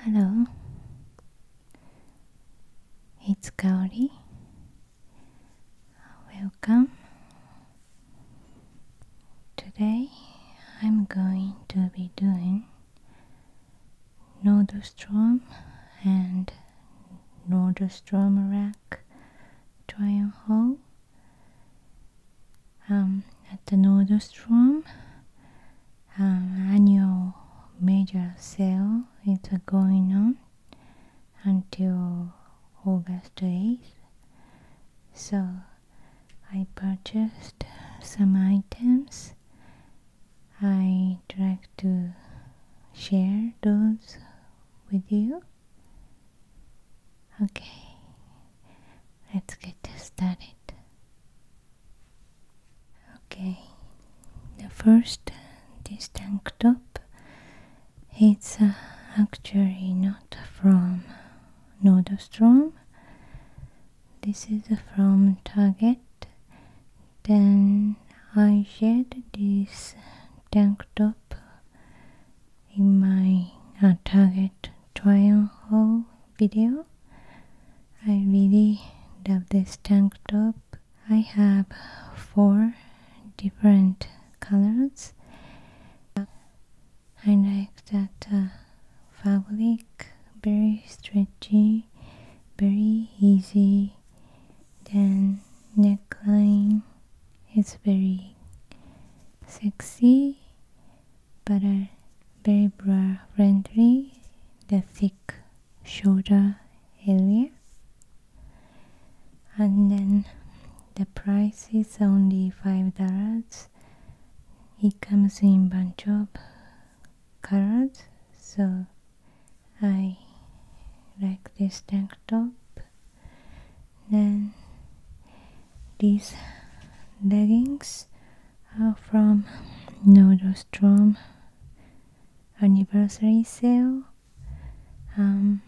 Hello, it's Kaori. Welcome. Today I'm going to be doing Nordstrom and Nordstrom rack try on haul um, at the Nordstrom um, annual major sale is going on until August 8th. So I purchased some items. I'd like to share those with you. Okay, let's get started. Okay, the first, this tank top, it's actually not from Nordstrom. This is from Target. Then I shared this tank top in my uh, Target trial haul video. I really love this tank top. I have four different colors. I like that uh, fabric, very stretchy, very easy. Then neckline is very sexy but are very broad, friendly, the thick shoulder area. And then the price is only five dollars. It comes in bunch of colors, so I like this tank top. Then these leggings uh, from Nordstrom anniversary sale. Um,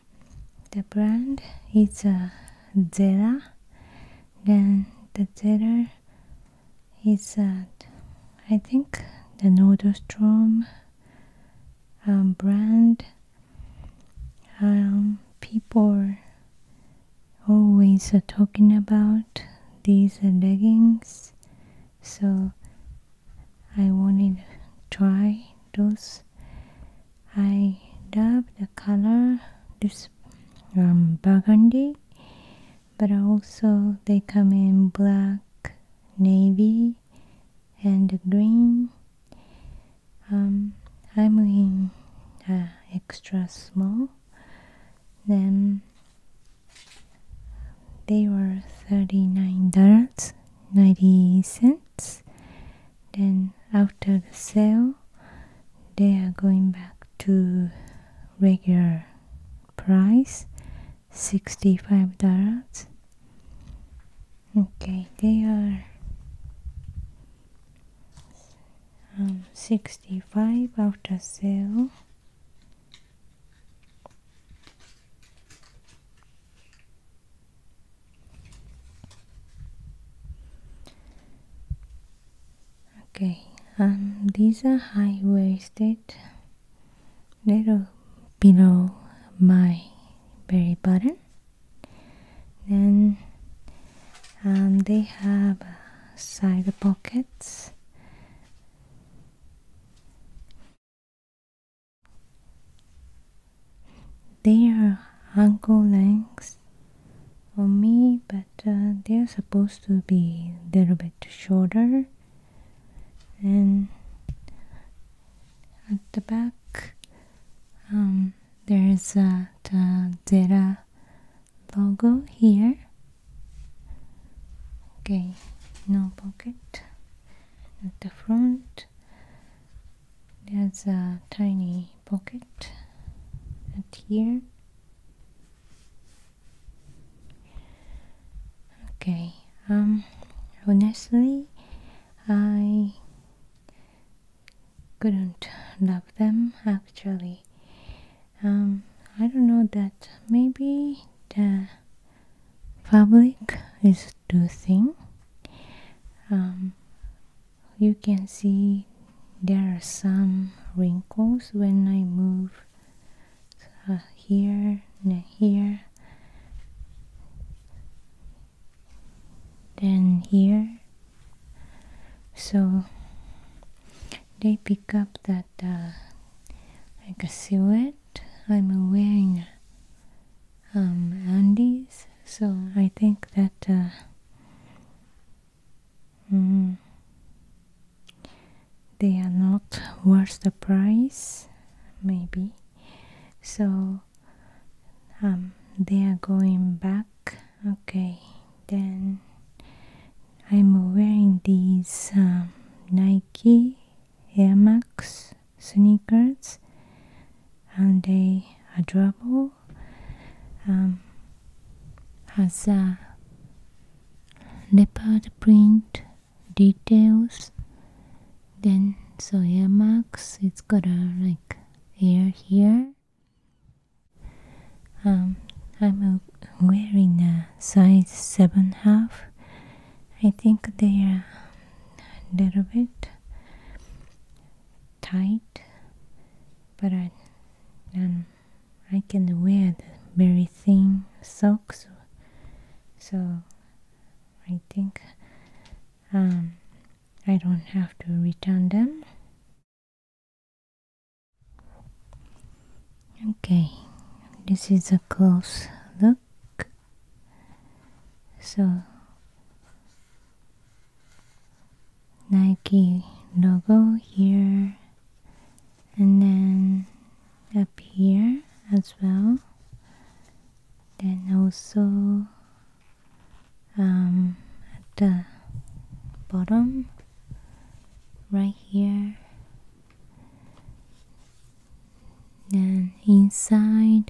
the brand is uh, Zera. Then the Zara is at uh, I think the Nordstrom um, brand. Um, people always uh, talking about these leggings so I wanted to try those I love the color this um, burgundy but also they come in black navy and green um, I'm in uh, extra small then they were $39.90. Then after the sale, they are going back to regular price $65. Okay, they are um, 65 after sale okay and these are high-waisted little below my belly button then um, they have a side pocket it. They are ankle length on me, but uh, they are supposed to be a little bit shorter. And at the back, um, uh, there is a uh, logo here okay no pocket at the front there's a tiny pocket at here okay um honestly I couldn't love them actually um, I don't know that maybe the public is too thin. Um, you can see there are some wrinkles when I move uh, here and here then here so they pick up that uh, like a silhouette. I'm wearing um, undies, so I think that uh, mm, they are not worth the price, maybe. So um, they are going back okay then I'm wearing these um, Nike Air Max sneakers and they are durable um, has a leopard print details then so air max it's got a like air here um, I'm wearing a size seven half. I think they are a little bit tight, but I um, can wear the very thin socks, so I think um, I don't have to return them. Okay, this is a close look. So, Nike logo here and then up here as well. Then also um, at the bottom right here then inside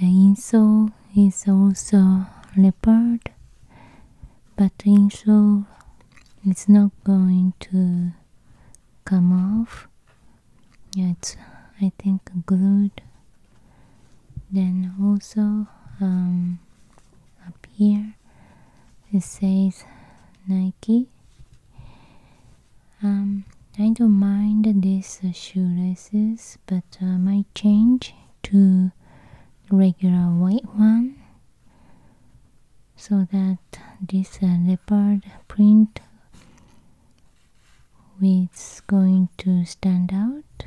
the insole is also leopard but the insole is not going to come off it's I think glued then also um, up here it says Nike um, I don't mind these shoelaces but uh, I might change to regular white one so that this uh, leopard print is going to stand out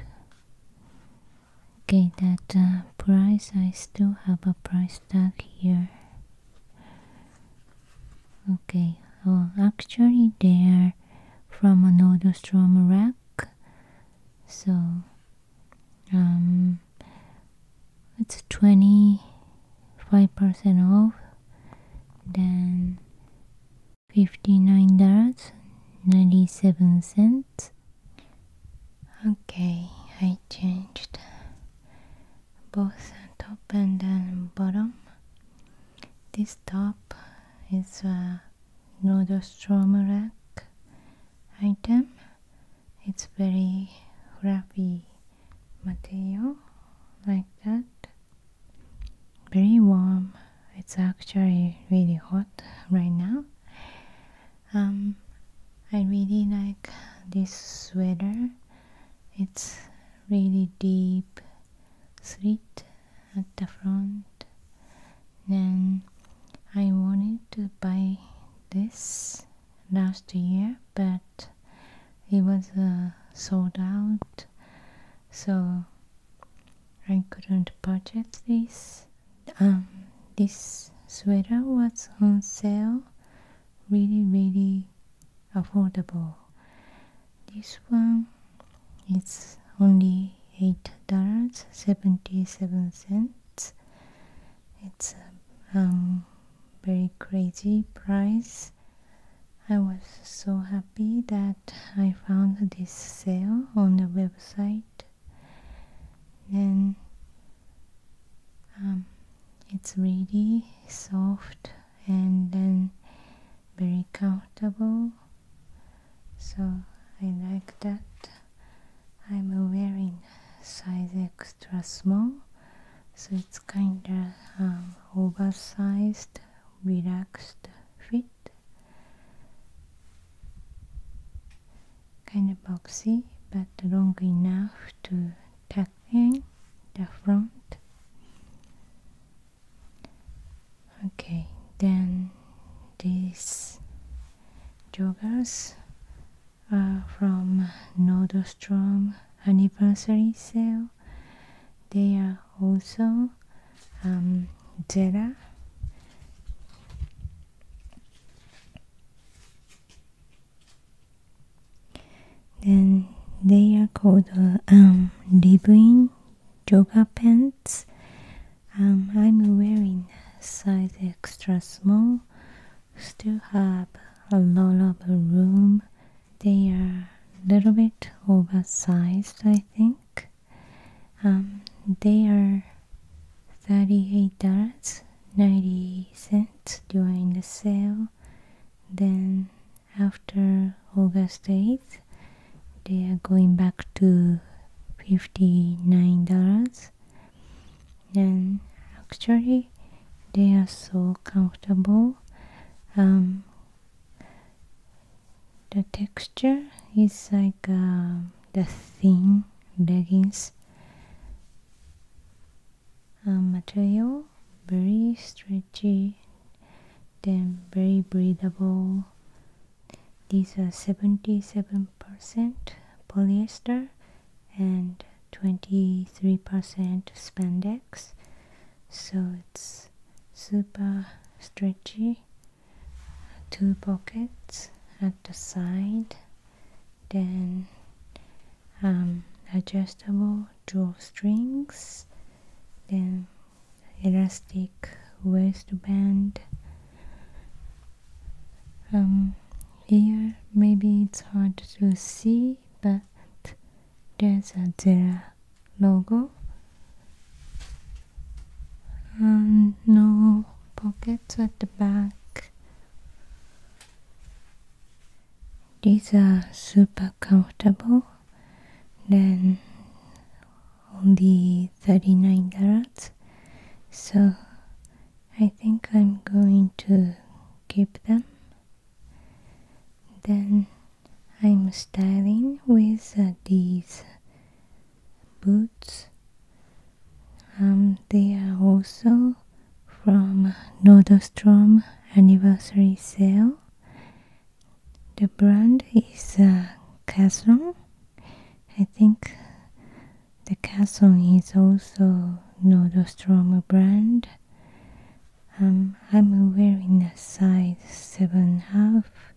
okay that uh, price I still have a price tag here okay well actually they're from a storm rack so um it's 25% off then $59.97 Okay, I changed both top and then bottom. This top is a Nordstrom rack item. It's very fluffy material like that. Very warm. It's actually really hot right now um, I really like this sweater it's really deep slit at the front then I wanted to buy this last year but it was uh, sold out so I couldn't purchase this um, this sweater was on sale really really affordable this one it's only eight dollars seventy seven cents it's a um, very crazy price I was so happy that I found this sale on the website then um, it's really soft and then very comfortable so I like that I'm wearing size extra small so it's kinda um, oversized relaxed fit kind of boxy but long enough to tuck in the front okay then these joggers are from Nordstrom anniversary sale they are also um, then they are called uh, um, living yoga pants. Um, I'm wearing size extra small. Still have a lot of room. They are a little bit oversized, I think. Um, they are thirty-eight dollars 90 cents during the sale then after august 8th they are going back to $59 and actually they are so comfortable um, the texture is like um, the thin leggings uh, material very stretchy then very breathable these are 77% polyester and 23% spandex so it's super stretchy two pockets at the side then um, adjustable drawstrings, then elastic waistband. Um, here maybe it's hard to see, but there's a Zera logo. Um, no pockets at the back these are super comfortable. Then only 39 dollars. So I think I'm going to keep them. Then I'm styling with uh, these boots um, they are also from Nordstrom anniversary sale. The brand is uh, I think the Casson is also Nordstrom brand. Um, I'm wearing a size seven half.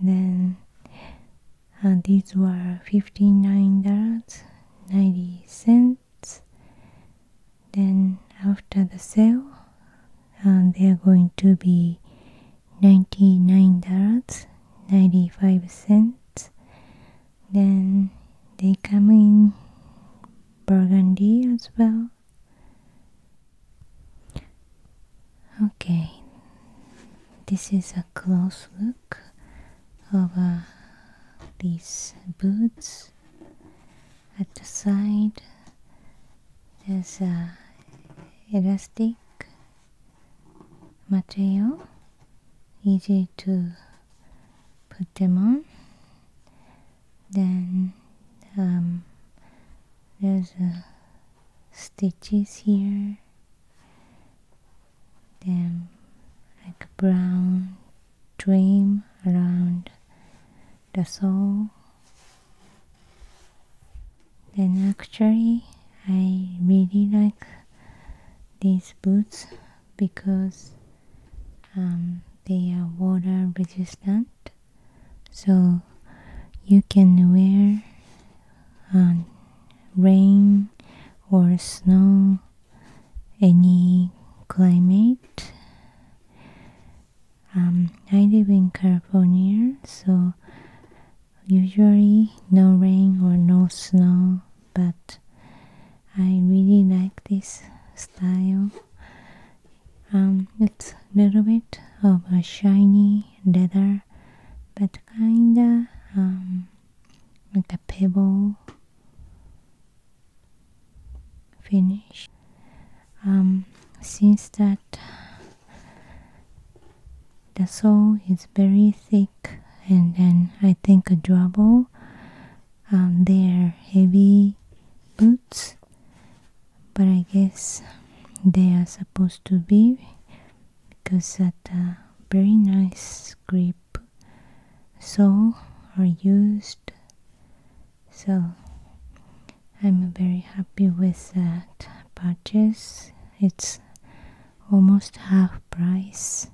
Then and these were $59.90 then after the sale and uh, they are going to be $99.95 then they come in burgundy as well okay this is a close look look of uh, these boots at the side there's a uh, elastic material easy to put them on then um, there's uh, stitches here then like a brown dream around the soul. then actually I really like these boots because um, they are water resistant so you can wear um, rain or snow any climate. Um, I live in California, so usually no rain or no snow, but I really like this style. Um, it's a little bit of a shiny leather, but kinda um, like a pebble finish um, since that the sole is very thick and then I think a durable um, they're heavy boots but I guess they are supposed to be because that uh, very nice grip so or used so i'm very happy with that purchase it's almost half price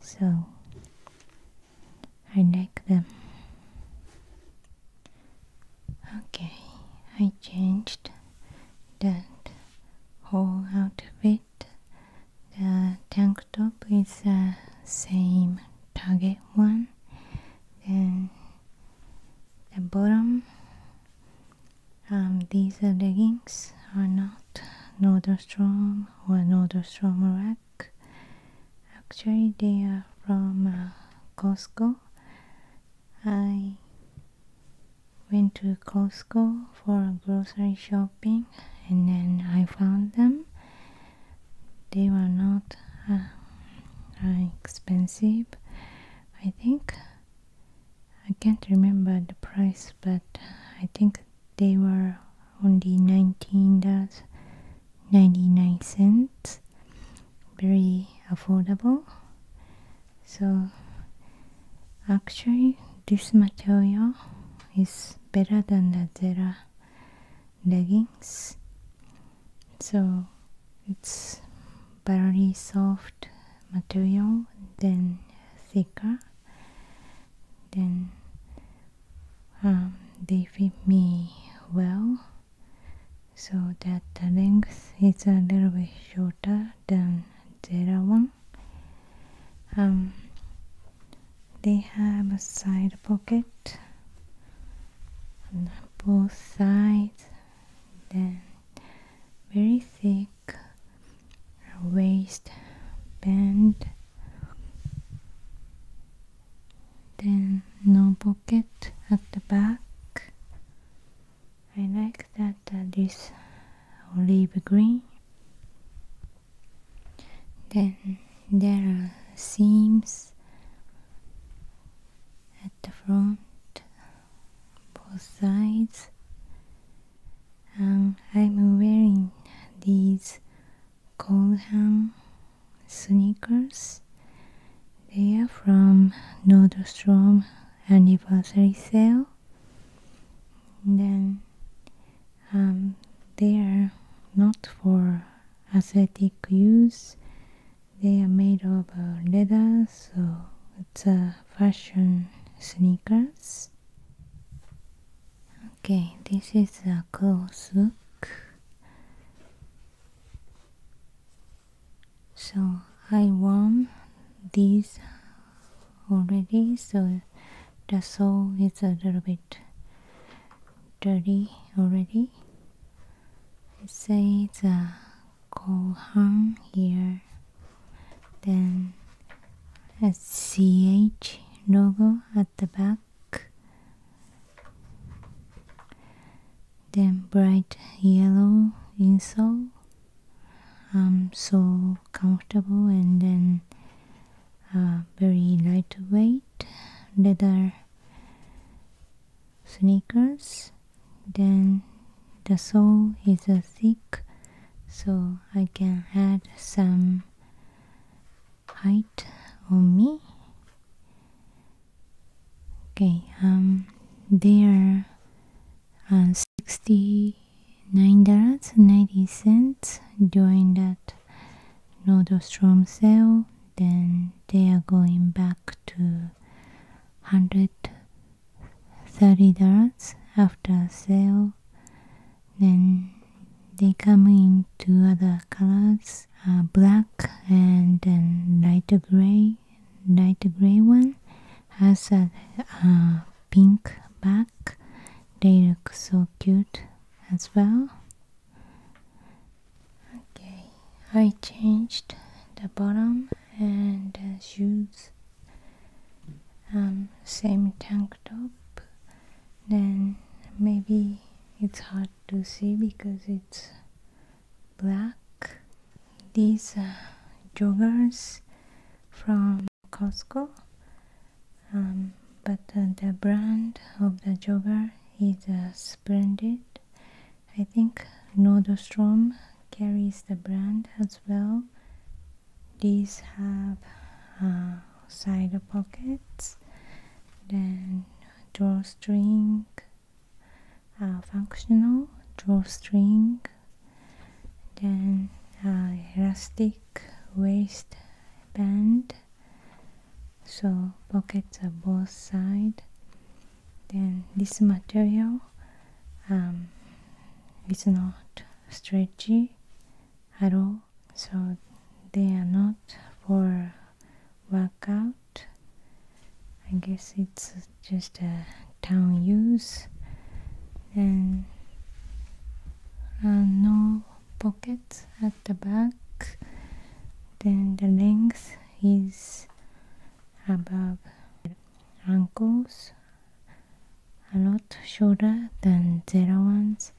so i like them okay i changed that whole it the tank top is the same target one and the bottom um, these are leggings are not Nordstrom or Nordstrom rack actually they are from uh, Costco I went to Costco for grocery shopping and then I found them. They were not uh, uh, expensive, I think. I can't remember the price, but I think they were only $19.99. Very affordable. So Actually, this material is better than the Zara leggings, so it's very soft material, then thicker, then um, they fit me well so that the length is a little bit shorter then the other one. Um, they have a side pocket on both sides, then very thick waist band, then no pocket at the back. I like that after this olive green then there are seams at the front both sides and um, I'm wearing these Goldham sneakers they are from Nordstrom anniversary sale then um, they are not for aesthetic use they are made of uh, leather so it's a fashion sneakers okay this is a close look so i want these already so the sole is a little bit dirty already it says uh, Kohan here then a CH logo at the back then bright yellow insole um, so comfortable and then uh, very lightweight leather sneakers then the sole is uh, thick so I can add some height on me okay um they are uh, 60 $9.90 during that Nordstrom sale then they are going back to $130 after sale then they come in two other colors uh, black and then light gray light gray one has a uh, pink back. They look so cute as well. Okay, I changed the bottom and shoes. Um, same tank top. Then maybe it's hard to see because it's black. These uh, joggers from Costco. Um, but uh, the brand of the jogger is uh, splendid. I think Nordstrom carries the brand as well. These have uh, side pockets, then drawstring, uh, functional drawstring then uh, a rustic waist band. so pockets are both sides then this material um, is not stretchy at all so they are not for workout I guess it's just a town use and uh, no pockets at the back then the length is above ankles a lot shorter than zero ones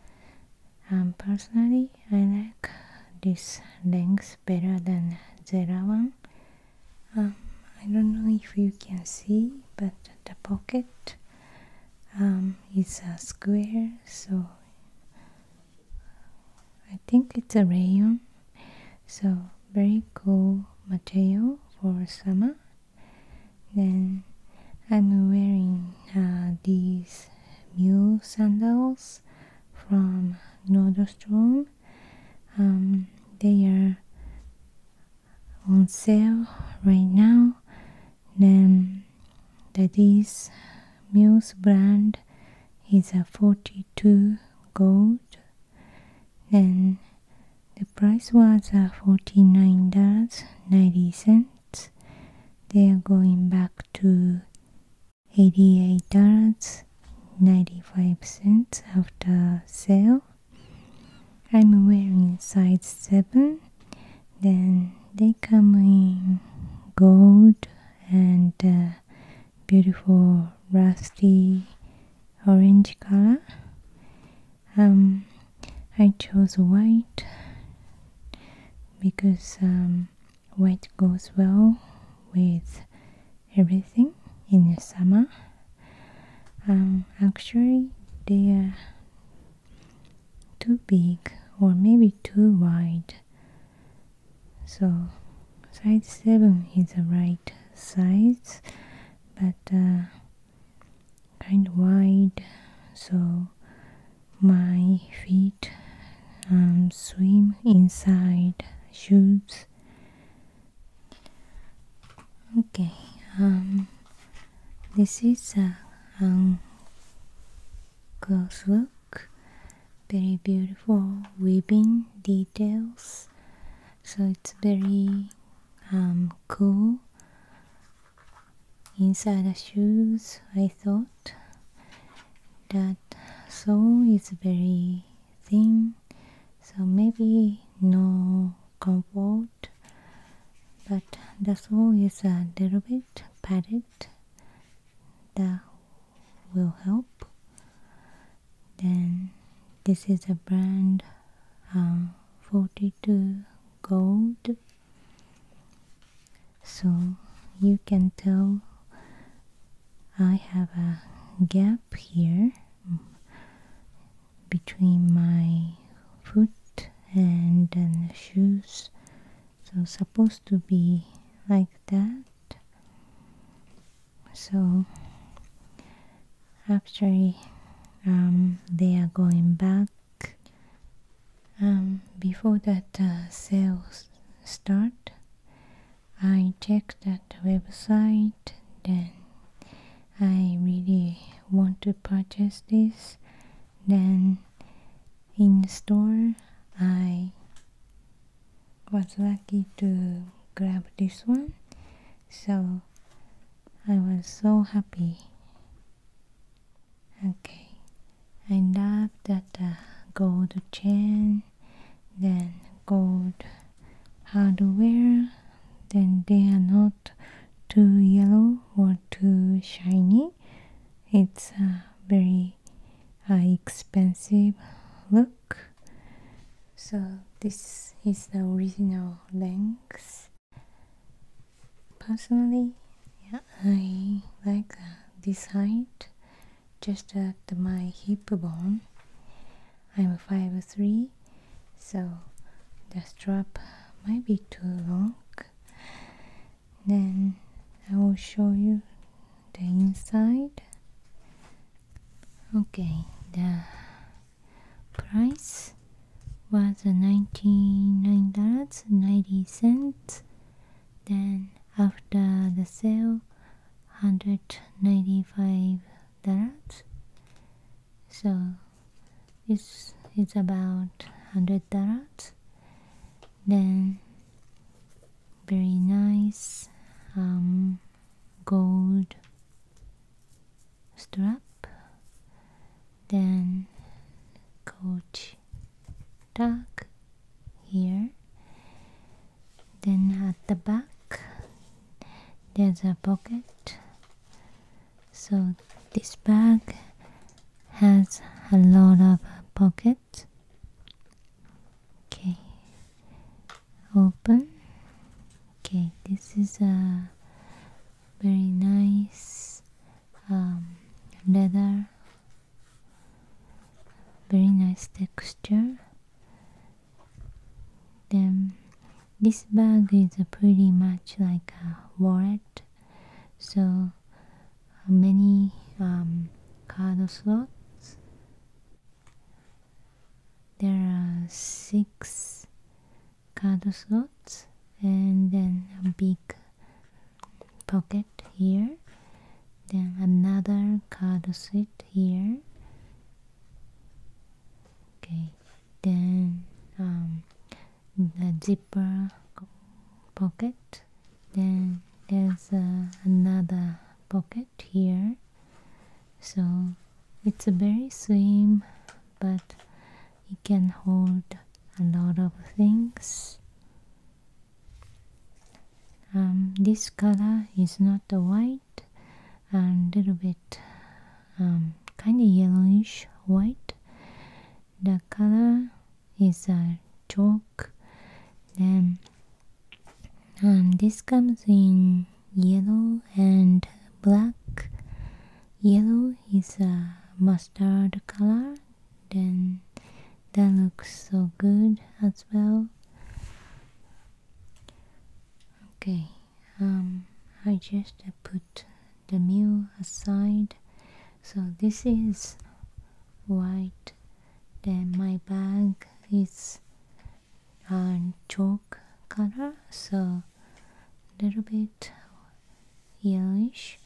And personally I like this length better than zero one um, I don't know if you can see but the pocket um, it's a square so I think it's a rayon so very cool material for summer then I'm wearing uh, these mule sandals from Nordstrom um, they are on sale right now then this Muse brand is a 42 gold. Then the price was a 49 dollars 90 cents. They are going back to 88 dollars 95 cents after sale I'm wearing size 7 then they come in gold and uh, beautiful rusty orange color um, I chose white because um, white goes well with everything in the summer um, actually they are too big or maybe too wide so size 7 is the right size but uh, kind of wide so my feet um, swim inside shoes okay um, this is a close um, look. Very beautiful weaving details. So it's very um, cool. Inside the shoes, I thought that sole is very thin, so maybe no comfort but the soul is a little bit padded that will help then this is a brand um, 42 gold so you can tell I have a gap here between my foot and, the shoes so supposed to be like that so actually um, they are going back um, before that uh, sales start I check that website then I really want to purchase this then in the store, I was lucky to grab this one, so I was so happy. Okay, I love that uh, gold chain, then gold hardware, then they are not too yellow or too shiny it's a very uh, expensive look so this is the original length personally yeah i like this height just at my hip bone i'm 5'3 so the strap might be too long then I will show you the inside okay the price was 19 dollars 90 then after the sale $195 so it's it's about 100 dollars then very nice um, gold strap then coach tag here then at the back there's a pocket so this bag has a lot of pockets okay open okay this is a very nice um, leather very nice texture then this bag is pretty much like a wallet so many um, card slots there are six card slots and then a big pocket here then another card slot here okay then um, the zipper pocket then there's uh, another pocket here so it's a very slim but it can hold a lot of things um, this color is not white a little bit um, kind of yellowish white the color is a chalk then um, this comes in yellow and black yellow is a mustard color then that looks so good as well okay um, I just put the mule aside. So this is white. Then my bag is uh, chalk color, so a little bit yellowish,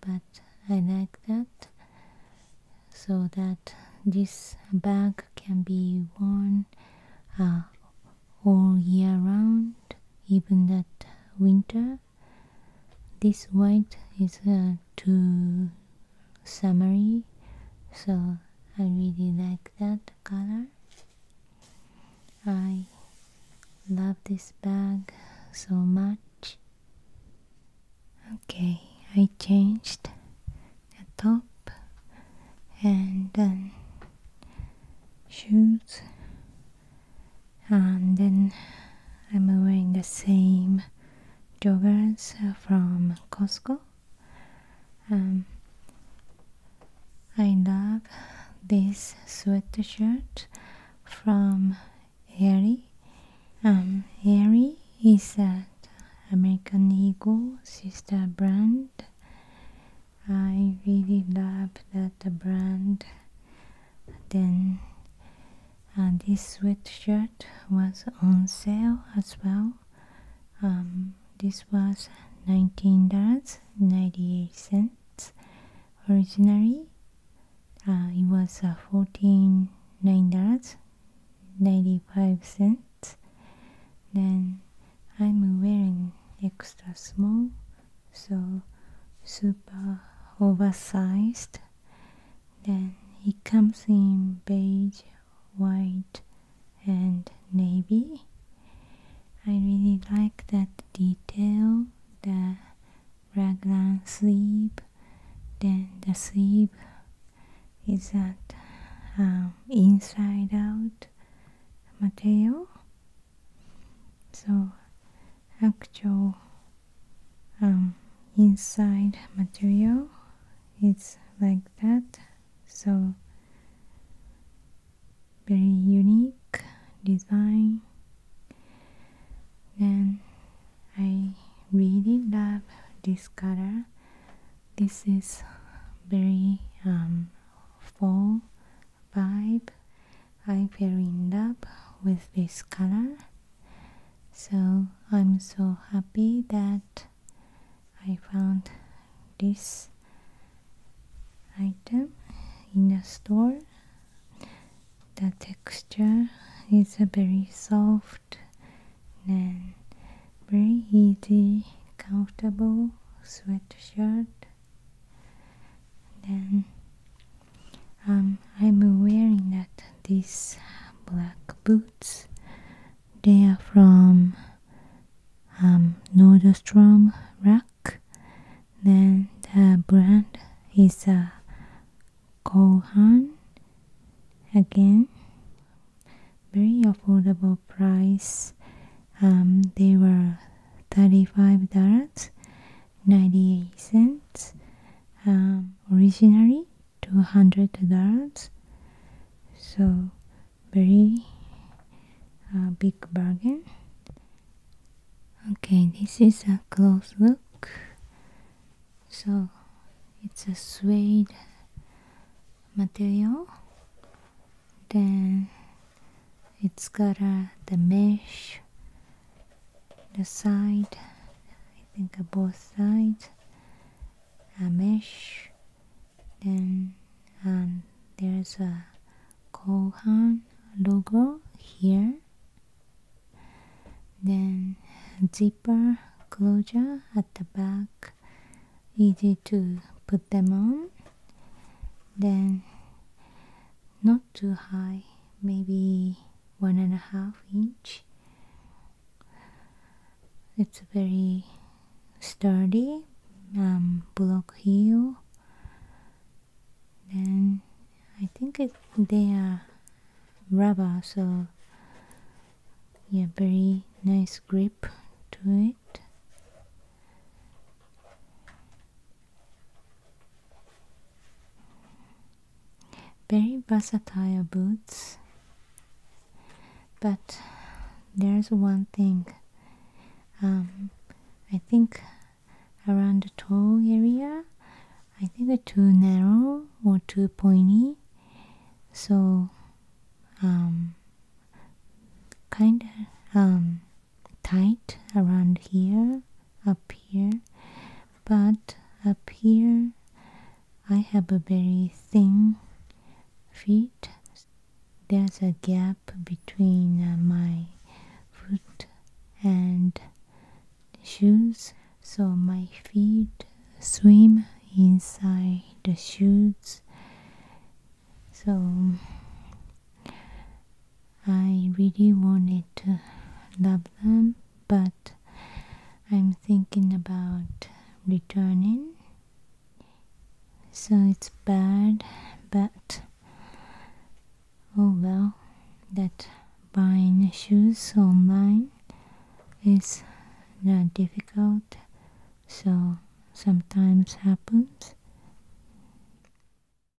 but I like that so that this bag can be worn uh, all year round, even that winter this white is uh, too summery so I really like that color I love this bag so much okay I changed the top and then shoes and then I'm wearing the same joggers from Costco. Um, I love this sweatshirt from Airy. Um, Airy is an American Eagle sister brand. I really love that brand then uh, this sweatshirt was on sale as well um, this was $19.98 originally uh, it was uh, $14.95 then I'm wearing extra small so super oversized then it comes in beige white and navy i really like that detail the raglan sleeve then the sleeve is that um, inside out material so actual um, inside material it's like that so very unique design then I really love this color this is very um, fall vibe I paired up with this color so I'm so happy that I found this item in the store the texture is a very soft and very easy comfortable sweatshirt then um, I'm wearing that these black boots they are from um, Nordstrom Rack then the brand is uh, Kohan again very affordable price um, they were $35 98 cents um, originally $200 so very uh, big bargain okay this is a close look so it's a suede material then it's got uh, the mesh the side I think uh, both sides a mesh then and um, there's a Kohan logo here then zipper closure at the back easy to put them on then not too high maybe one and a half inch it's a very sturdy um, block heel then I think it, they are rubber so yeah very nice grip to it very versatile boots, but there's one thing. Um, I think around the toe area, I think they're too narrow or too pointy, so um, kind of um, tight around here up here but up here I have a very thin feet there's a gap between uh, my foot and shoes so my feet swim inside the shoes so I really wanted to love them, but I'm thinking about returning. So it's bad, but oh well, that buying shoes online is not difficult, so sometimes happens.